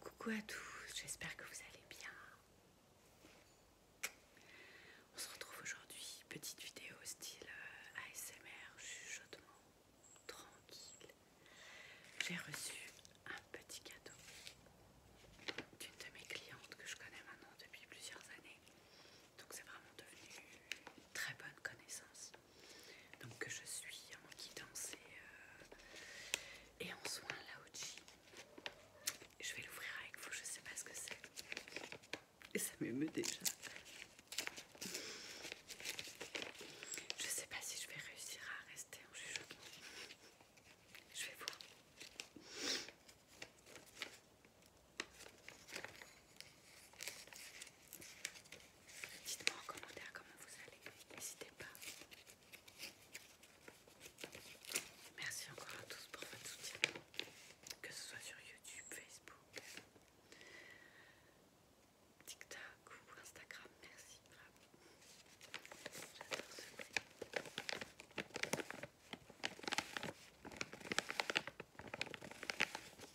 Coucou à tous, j'espère que vous allez bien. On se retrouve aujourd'hui, petite vidéo style euh, ASMR, chuchotement, tranquille. J'ai reçu un petit cadeau d'une de mes clientes que je connais maintenant depuis plusieurs années. Donc c'est vraiment devenu une très bonne connaissance. Donc je suis en guidance euh, et, en soins Laoji. Je vais l'ouvrir avec vous, je sais pas ce que c'est. Et ça m'émeut déjà. Je sais pas si je vais réussir à rester en jugement. Je vais voir. Dites-moi en commentaire comment vous allez, n'hésitez pas. Merci encore à tous pour votre soutien, que ce soit sur YouTube, Facebook, TikTok ou Instagram. Merci, J'adore ce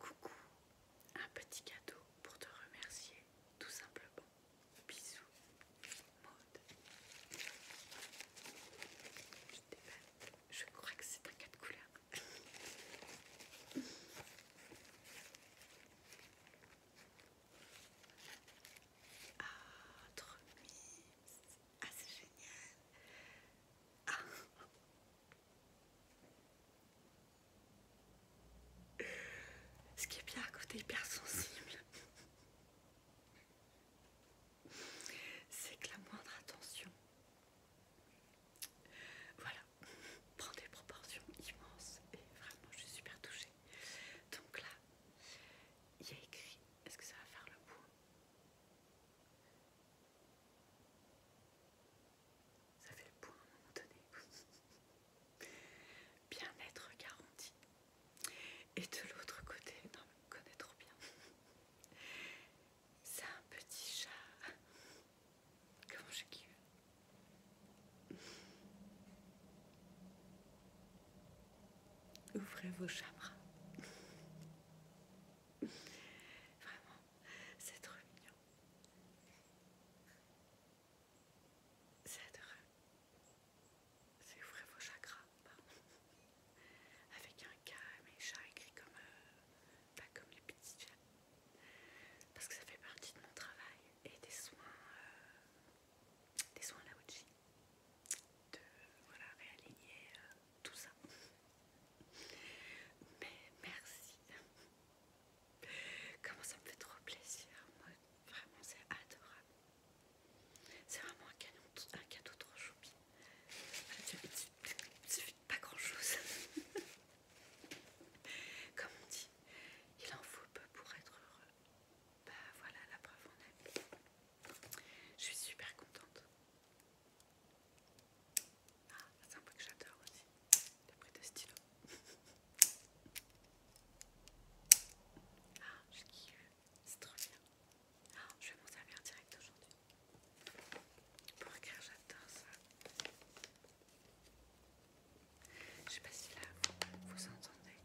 Coucou, un petit cadeau pour te remercier, tout simplement. Bisous, Maud. Je crois que c'est un cas de couleur. Ah, trop mimes. Ah, c'est génial. Ah. Ce qui est bien à côté hyper sensible, c'est que la moindre attention, voilà, prend des proportions immenses et vraiment je suis super touchée. Donc là, il y a écrit, est-ce que ça va faire le bout ça fait le point à un moment donné. Bien-être garanti. Et de l'autre côté, non, mais connaît trop bien. C'est un petit chat. Comment je kiffe. Ouvrez vos chambres. Vraiment, c'est trop mignon. C'est adorable. C'est ouvrez vos chakras. Avec un K, Mes chats écrit comme, euh, pas comme les petits chats. Parce que ça fait partie de mon travail et des soins, euh, des soins la de voilà, réaligner euh, tout ça. Mais merci. Comment ça me fait trop plaisir. Moi, vraiment, c'est adorable. C'est vraiment un, un cadeau trop choupi. Il suffit pas grand chose. Comme on dit, il en faut peu pour être heureux bah voilà, la preuve en est. Je suis super contente. Ah, c'est un bruit que j'adore aussi. le bruit de stylo. Ah, je kiffe. C'est trop bien. Ah, je vais m'en servir direct aujourd'hui. Pour écrire, j'adore ça. Je sais pas si là vous entendez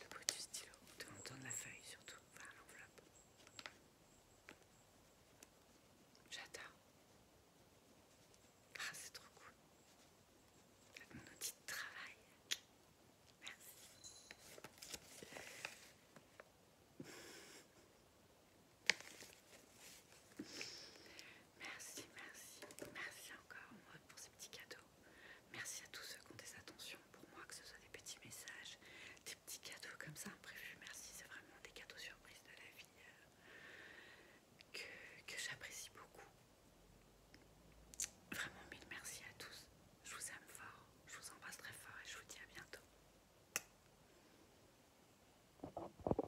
le bout du stylo, de de la feuille surtout, enfin l'enveloppe. J'adore. Ah, c'est trop cool. Avec mon outil de travail. Merci. Merci, merci, merci encore pour ces petits cadeaux. Merci à tous ceux qui ont des attentions pour moi, que ce soit des petits messages, des petits cadeaux comme ça imprévus. Merci, c'est vraiment des cadeaux surprises de la vie euh, que, que j'apprécie beaucoup. Vraiment mille merci à tous. Je vous aime fort, je vous embrasse très fort et je vous dis à bientôt.